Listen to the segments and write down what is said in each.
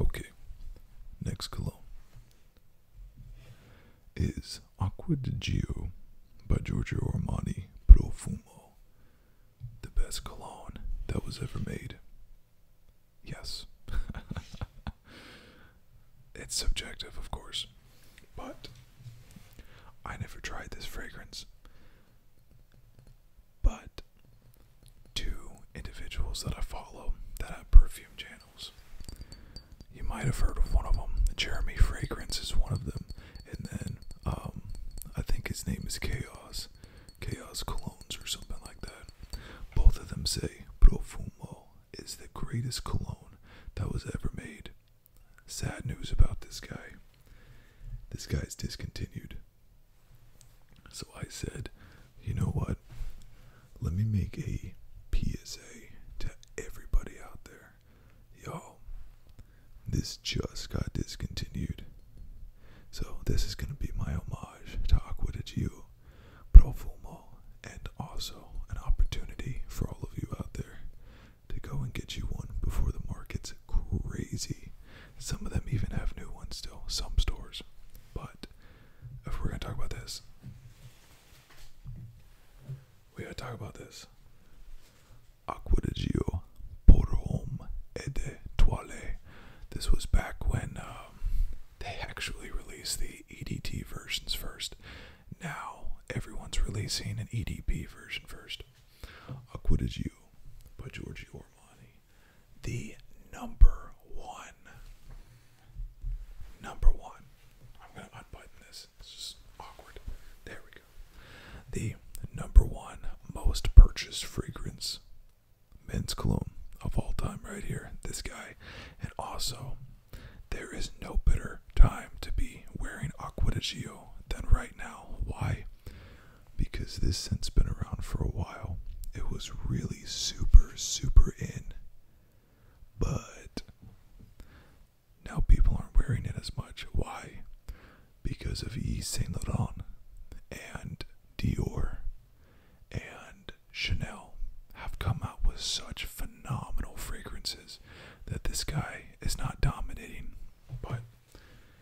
Okay, next cologne is Acqua di Gio by Giorgio Armani Profumo, the best cologne that was ever made. Yes. it's subjective, of course, but I never tried this fragrance but two individuals that I follow that have perfume channels. You might have heard of one of them. Jeremy Fragrance is one of them, and then um, I think his name is Chaos, Chaos Colognes or something like that. Both of them say Profumo is the greatest cologne that was ever made. Sad news about this guy. This guy is discontinued. So I said, you know what? Let me make a PSA to everybody out there. yo. this just got discontinued. So this is going to be my homage to Aqua de Gio, Provo Fumo, and also an opportunity for all of you out there to go and get you one before the market's crazy. Some of them even have new ones still, some stores. But if we're going to talk about this, we got to talk about this. Aquadigio por homme et de toile. This was back when um, they actually released the EDT versions first. Now everyone's releasing an EDP version first. Aquadigio by Giorgio Armani the number one. Number one. I'm going to unbutton this. It's just awkward. There we go. The number one most purchased fragrance men's cologne of all time, right here. This guy. And also, there is no better time to be wearing Aqua than right now. Why? because this scent's been around for a while. It was really super, super in. But now people aren't wearing it as much. Why? Because of Yves Saint Laurent and Dior and Chanel have come out with such phenomenal fragrances that this guy is not dominating. But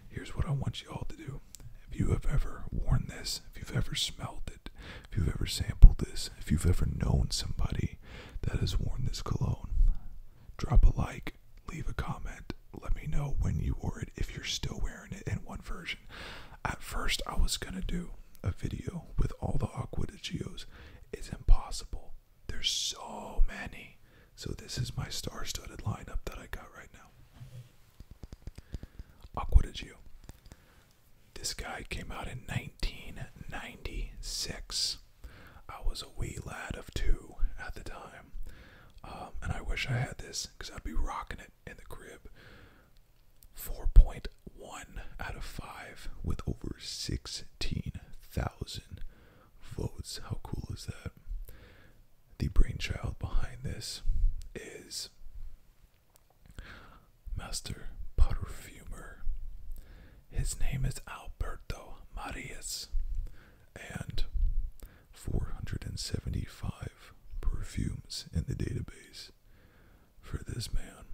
Here's what I want you all to do. If you have ever worn this, if you've ever smelled it, if you've ever sampled this, if you've ever known somebody that has worn this cologne, drop a like, leave a comment, let me know when you wore it, if you're still wearing it in one version. At first, I was going to do a video with all the Aqua Geos. It's impossible. There's so many. So, this is my star studded lineup that I got right now. Aqua This guy came out in 1996. I was a wee lad of two at the time, um, and I wish I had this because I'd be rocking it in the crib. 4.1 out of 5 with over 16,000 votes. How cool is that? the brainchild behind this is Master Perfumer. His name is Alberto Marias, and 475 perfumes in the database for this man.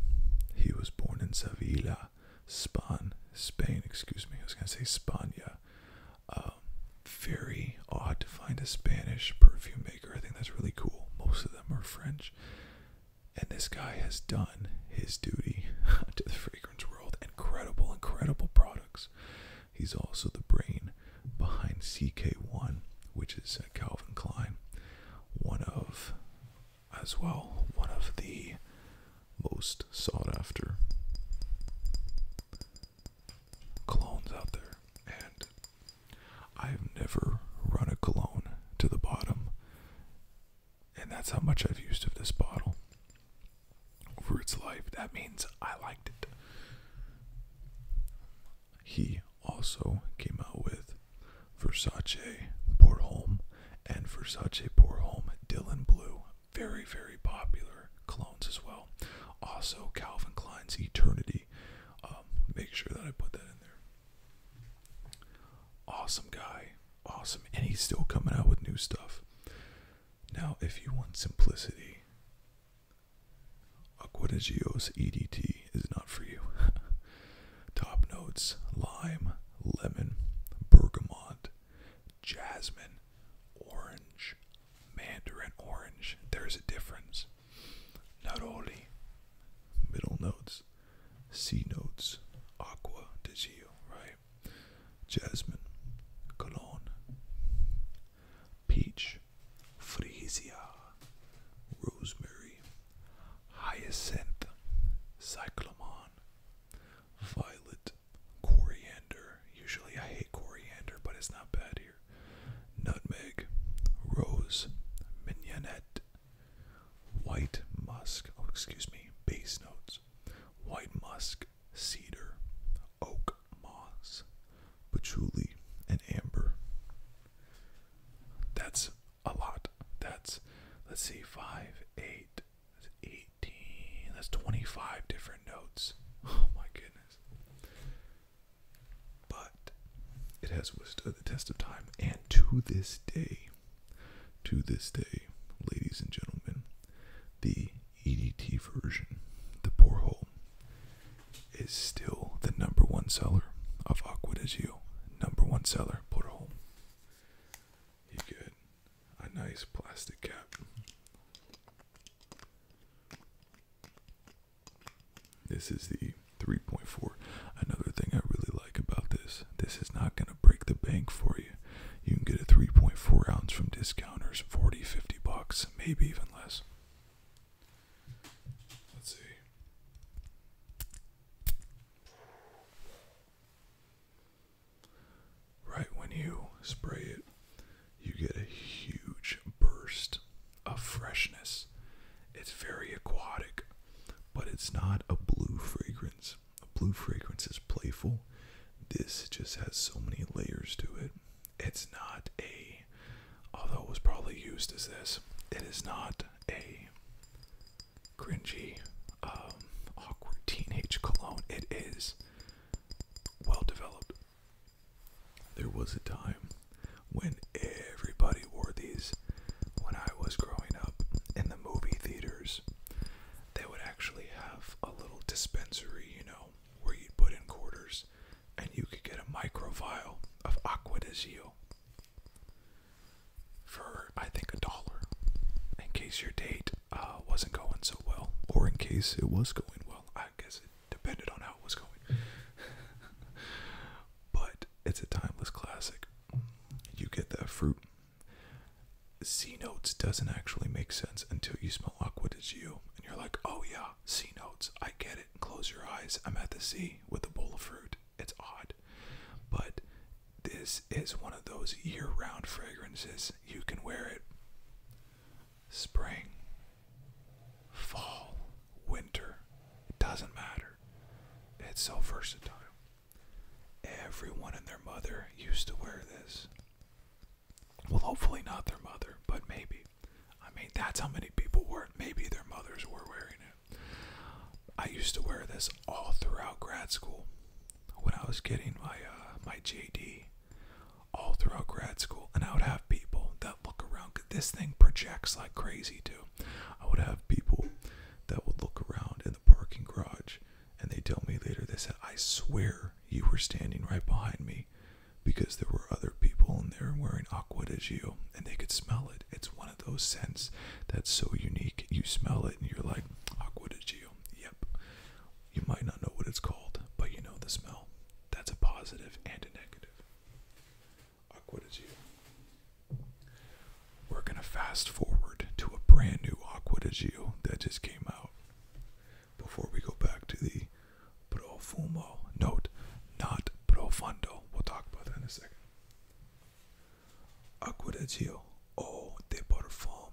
He was born in Sevilla, Spain, Spain, excuse me, I was going to say Spania, um, very odd to find a Spanish perfume maker. I think that's really cool. Most of them are French. And this guy has done his duty to the fragrance world. Incredible, incredible products. He's also the brain behind CK1, which is uh, Calvin Klein. One of, as well, one of the most sought after colognes out there, and I've never run a cologne to the bottom, and that's how much I've used of this bottle over its life. That means I liked it. He also came out with Versace Bordeaux and Versace Bordeaux Dylan Blue, very very popular colognes as well. Also Calvin Klein's Eternity um, make sure that I put that in there. Awesome guy, awesome, and he's still coming out with new stuff. Now, if you want simplicity, Aquatigios EDT is not for you. Top notes: lime, lemon, bergamot, jasmine, orange, Mandarin Orange, there's a difference. Not only middle notes, C notes, Aqua de right? Jasmine, Cologne, Peach, freesia, Rosemary, Hyacinth, Cyclamen, Violet, Coriander. Usually I hate coriander, but it's not bad here. Nutmeg, rose, mignonette, white musk, oh, excuse me, base notes, white musk, cedar, oak moss, patchouli, and amber. That's a lot. That's, let's see, 5, 8, that's 25 different notes. Oh my goodness. But it has withstood the test of time, and to this day, to this day, ladies and gentlemen, the EDT version, the hole, is still the number one seller of Aqua de Gio. Number one seller, hole. You get a nice plastic cap. This is the 3.4. Another thing I really like about this, this is not going to break the bank for you. You can get a 3.4 ounce from discounters, 40, 50 bucks, maybe even less. Let's see. Right when you spray it, you get a huge burst of freshness. It's very aquatic, but it's not a blue fragrance. A blue fragrance is playful. This just has so many layers to it. It's not a, although it was probably used as this, it is not a cringy, um, awkward teenage cologne. It is well developed. There was a time when everybody wore these when I was growing up in the movie theaters. They would actually have a little dispensary, you know, where you'd put in quarters and you could get a micro vial of Aqua de Gio for, I think, a dollar in case your date uh, wasn't going so well, or in case it was going well. I guess it depended on how it was going. but it's a timeless classic. You get that fruit. C notes doesn't actually make sense until you smell aqua de you, and you're like, oh yeah, C notes, I get it. Close your eyes, I'm at the sea with a bowl of fruit. It's odd, but this is one of those year-round fragrances. You can wear it spring, fall, winter, it doesn't matter. It's so versatile. Everyone and their mother used to wear this. Well, hopefully not their mother, but maybe. I mean, that's how many people were. Maybe their mothers were wearing it. I used to wear this all throughout grad school. When I was getting my uh, my GD, all throughout grad school. And I would have people that look around. This thing projects like crazy, too. I would have people that would look around in the parking garage and they tell me later, they said, I swear you were standing right behind me because there were other people in there wearing aqua de Gio and they could smell it. It's one of those scents that's so unique. You smell it and you're like, aqua de Gio. Yep. You might not know what it's called, but you know the smell. That's a positive and a negative. Aqua We're going to fast forward to a brand new Aqua that just came out. Before we go back to the profumo note, not profundo. We'll talk about that in a second. Aqua de Gio, eau de parfum.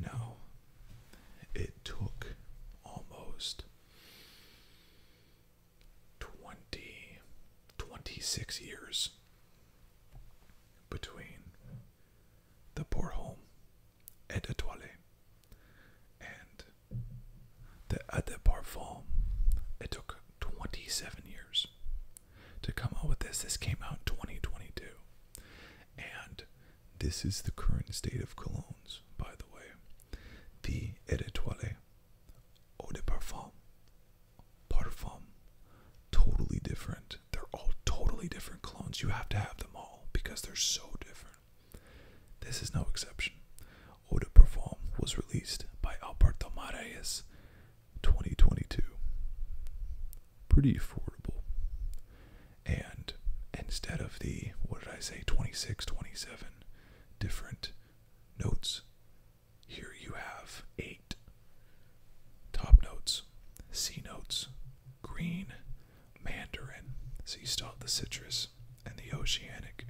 No, it took almost 20, 26 years between the poor home at Etoile and the Ade Parfum. It took 27 years to come out with this. This came out in 2022. And this is the current state of colognes, by the way. The Eau de Eau de Parfum, Parfum, totally different. They're all totally different colognes. You have to have them all because they're so different. This is no exception. Eau de Parfum was released by Alberto Marais 2022. Pretty affordable and instead of the what did I say 26 27 different notes here you have 8 top notes C notes green mandarin so you still have the citrus and the oceanic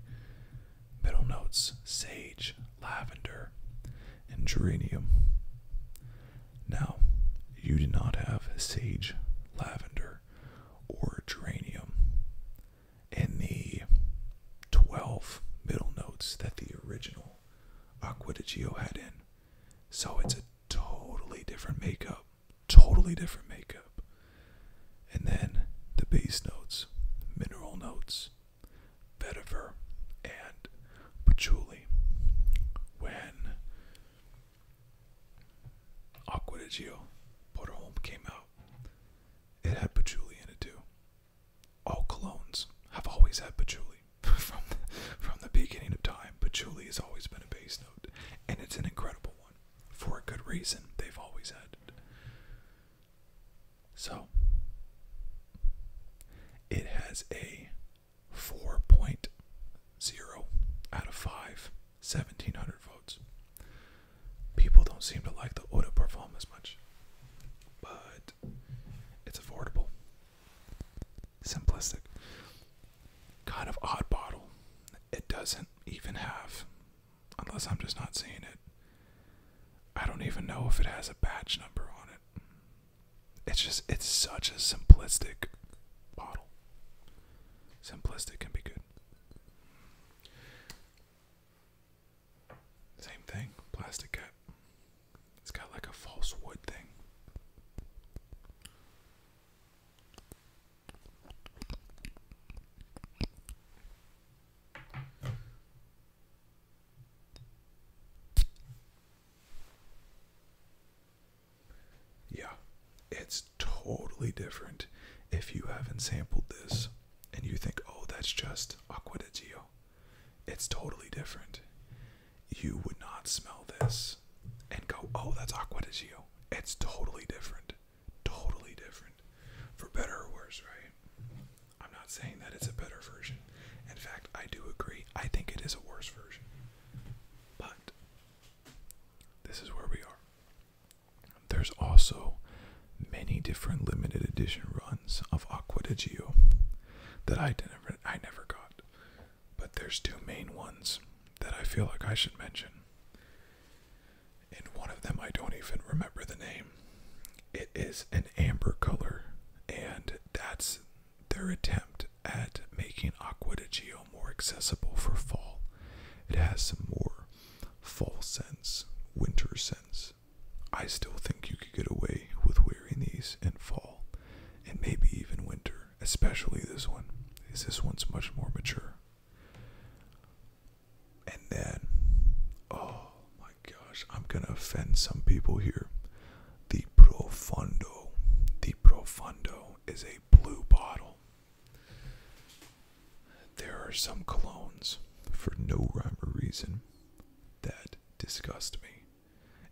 middle notes sage lavender and geranium now you do not have sage lavender or geranium and the 12 middle notes that the original Aqua had in. So it's a totally different makeup. Totally different makeup. And then the base notes, mineral notes, vetiver, and patchouli. When Aqua di Gio came out. It had patchouli in it too. All colognes have always had patchouli from the, from the beginning of time. Patchouli has always been a base note, and it's an incredible one for a good reason. They've always had it. So it has a 4.0 out of 5 1700 votes. People don't seem to like the eau de parfum as much, but it's affordable, simplistic, kind of odd bottle. It doesn't even have, unless I'm just not seeing it. I don't even know if it has a batch number on it. It's just, it's such a simplistic bottle. Simplistic can be good. Same thing, plastic cap. It's got like a false wood thing. Yeah, it's totally different if you haven't sampled this and you think, oh, that's just Aqua di Gio. It's totally different. You would not smell this and go, oh, that's Aqua di Gio. It's totally different. Totally different. For better or worse, right? I'm not saying that it's a better version. In fact, I do agree. I think it is a worse version. But this is where we are. There's also many different limited edition runs of Aqua that I never I never got. But there's two main ones that I feel like I should mention. And one of them I don't even remember the name. It is an amber color and that's their attempt at making Aqua more accessible for fall. It has some more fall scents, winter scents. I still think you could get away with wearing these in fall and maybe even winter, especially this one, as this one's much more mature. And then, oh my gosh, I'm gonna offend some people here. The Profundo. The Profundo is a blue bottle. There are some colognes, for no rhyme or reason, that disgust me.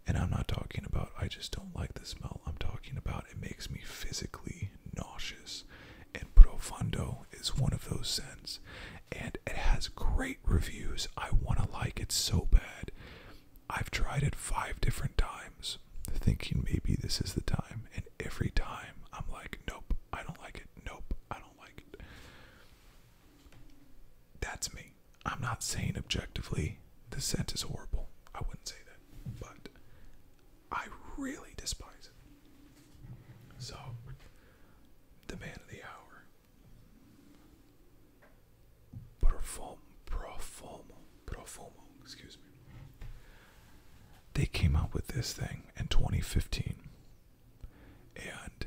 And I'm not talking about I just don't like the smell. I'm talking about it makes me physically nauseous. And Profundo is one of those scents. And it has great reviews. I want to like it so bad. I've tried it five different times, thinking maybe this is the time, and every time I'm like, nope, I don't like it, nope, I don't like it. That's me. I'm not saying objectively the scent is horrible. I wouldn't say that, but I really despise it. So, the man of the hour. Perform, perform, Profumo, excuse me. They came out with this thing in 2015. And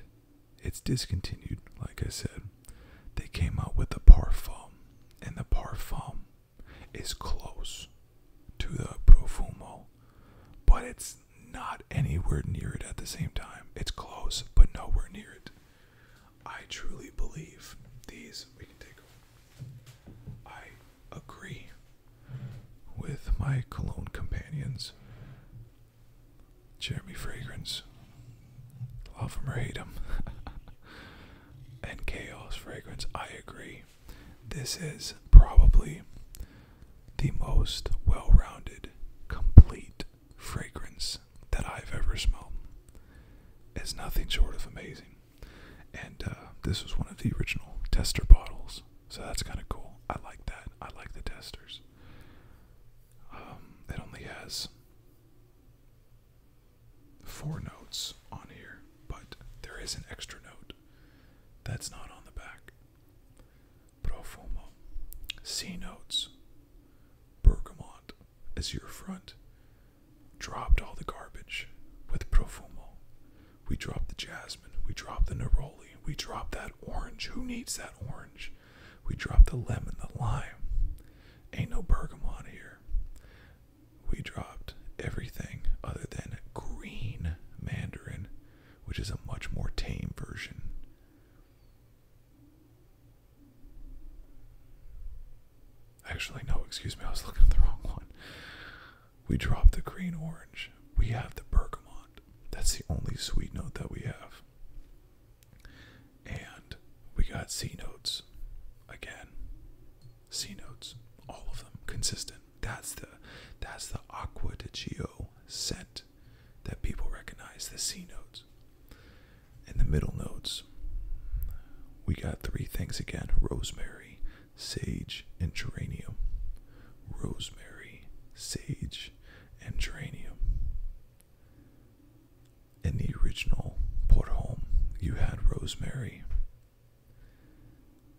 it's discontinued, like I said. They came out with the Parfum. And the Parfum is close to the Profumo. But it's not anywhere near it at the same time. It's close, but nowhere near it. I truly believe these we can take over. I agree with my cologne companions. Jeremy Fragrance. Love them or hate them. and Chaos Fragrance. I agree. This is probably the most well rounded, complete fragrance that I've ever smelled. It's nothing short of amazing. And uh, this was one of the original tester bottles, so that's kind of cool. I like that. I like the testers. Um, it only has four notes on here, but there is an extra note that's not on the back. Profumo, C notes, bergamot, as your front. Dropped all the garbage with Profumo. We dropped the jasmine. We dropped the neroli. We dropped that orange. Who needs that orange? We dropped the lemon, the lime. Ain't no bergamot here. We dropped everything other than green mandarin, which is a much more tame version. Actually, no, excuse me, I was looking at the wrong one. We drop the green orange. We have the bergamot. That's the only sweet note that we have. And we got C notes. Again. C notes. All of them. Consistent. That's the that's the aqua di Gio scent that people recognize, the C notes. In the middle notes. We got three things again rosemary, sage, and geranium. Rosemary, sage, and geranium. In the original Port Home, you had rosemary.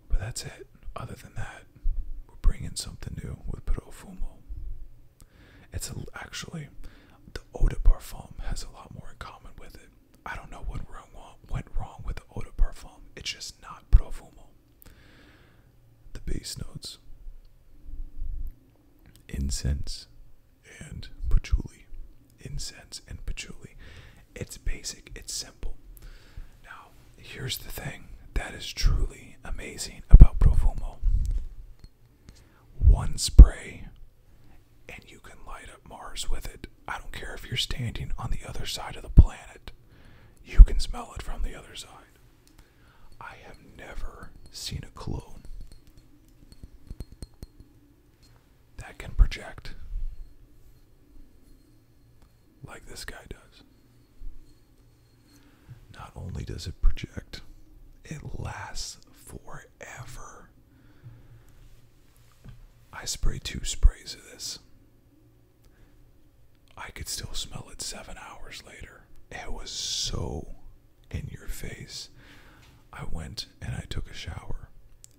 But that's it. Other than that, we're bringing something new with Profumo. It's actually, the eau de parfum has a lot more in common with it. I don't know what went wrong with the eau de parfum. It's just not profumo. The base notes incense and patchouli. Incense and patchouli. It's basic, it's simple. Now, here's the thing that is truly amazing about Profumo one spray and you can light up Mars with it. I don't care if you're standing on the other side of the planet, you can smell it from the other side. I have never seen a clone that can project like this guy does. Not only does it project, it lasts forever forever. I sprayed two sprays of this. I could still smell it seven hours later. It was so in your face. I went and I took a shower.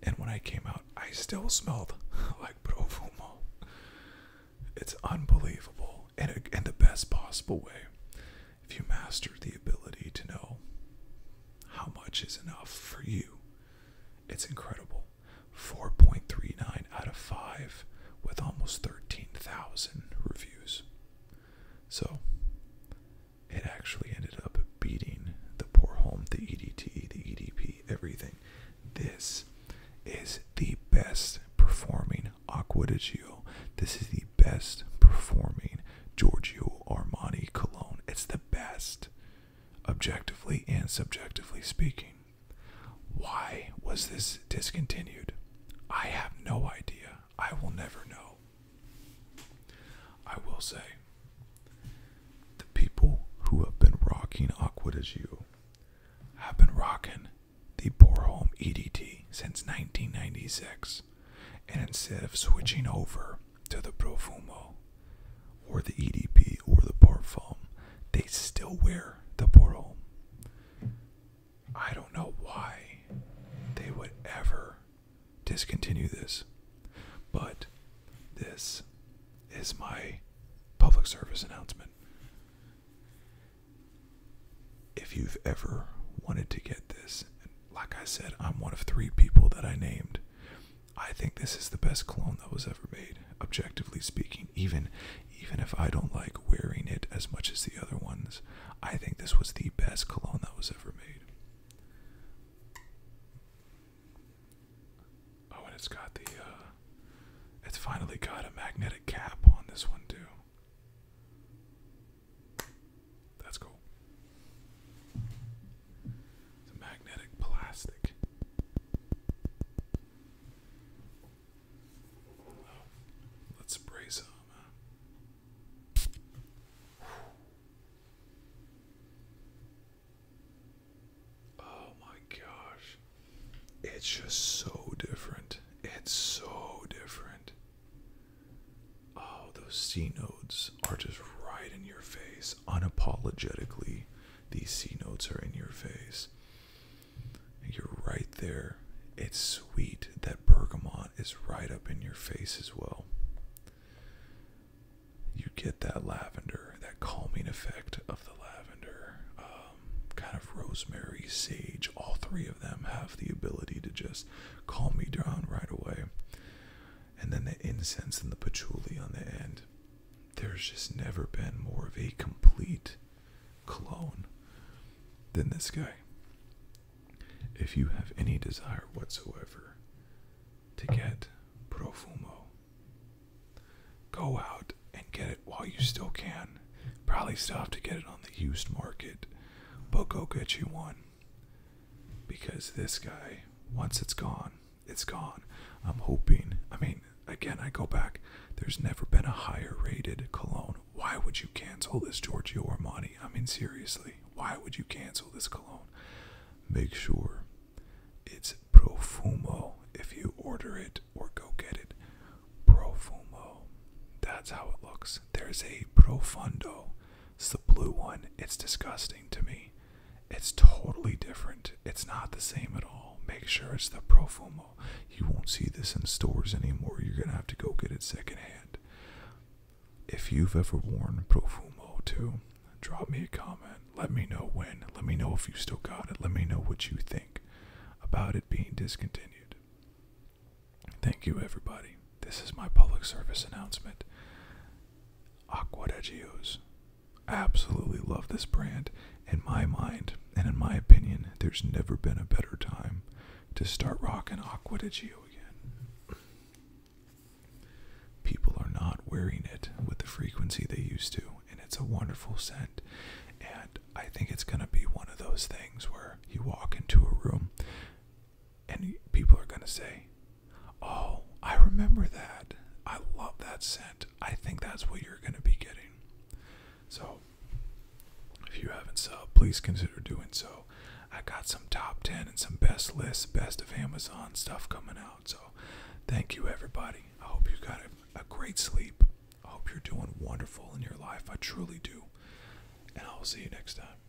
And when I came out, I still smelled like profumo. It's unbelievable in, in the best possible way. If you master the ability to know how much is enough for you? It's incredible. 4.39 out of 5 with almost 13,000 reviews. So it actually ended up beating the poor home, the EDT, the EDP, everything. This is the best performing Aqua de Gio. This is the best performing line Giorgio Armani cologne. It's the best, objectively and subjectively speaking. Why was this discontinued? I have no idea. I will never know. I will say the people who have been rocking Aqua as you have been rocking the Borholm EDT since 1996. And instead of switching over to the Profumo or the EDP or the Parfum, they still wear the Borom. I don't know why they would ever discontinue this, but this is my public service announcement. If you've ever wanted to get this like I said, I'm one of three people that I named. I think this is the best cologne that was ever made, objectively speaking. Even even if I don't like wearing it as much as the other ones, I think this was the best cologne that was ever made. Oh, and it's got the uh, it's finally got a magnetic cap on this one too. That's cool. It's magnetic plastic. Oh, let's spray some. Oh my gosh. It's just so different. It's so different. Oh, those C notes are just right in your face. Unapologetically, these C notes are in your face. You're right there. It's sweet. That bergamot is right up in your face as well. You get that lavender, that calming effect of the lavender, um, kind of rosemary, sage. All three of them have the ability to just calm me down right away and then the incense and the patchouli on the end. There's just never been more of a complete clone than this guy. If you have any desire whatsoever to get Profumo, go out and get it while you still can. Probably still have to get it on the used market, but go get you one because this guy, once it's gone, it's gone. I'm hoping, I mean, again, I go back, there's never been a higher rated cologne. Why would you cancel this Giorgio Armani? I mean, seriously, why would you cancel this cologne? Make sure it's Profumo if you order it or go get it. Profumo. That's how it looks. There's a Profundo it's the blue one. It's disgusting to me. It's totally different. It's not the same at all. Make sure it's the Profumo. You won't see this in stores anymore. You're going to have to go get it secondhand. If you've ever worn Profumo too, drop me a comment. Let me know when. Let me know if you still got it. Let me know what you think about it being discontinued. Thank you, everybody. This is my public service announcement. Aqua Regios. Absolutely love this brand. In my mind, and in my opinion, there's never been a better time to start rocking Aqua Regio again. People are not wearing it with the frequency they used to, and it's a wonderful scent. And I think it's going to be one of those things where you walk into a room and people are going to say, Oh, I remember that. I love that scent. I think that's what you're going to be getting. So, if you haven't subbed, please consider doing so. I got some top 10 and some best lists, best of Amazon stuff coming out. So, thank you, everybody. I hope you got a great sleep. I hope you're doing wonderful in your life. I truly do. And I will see you next time.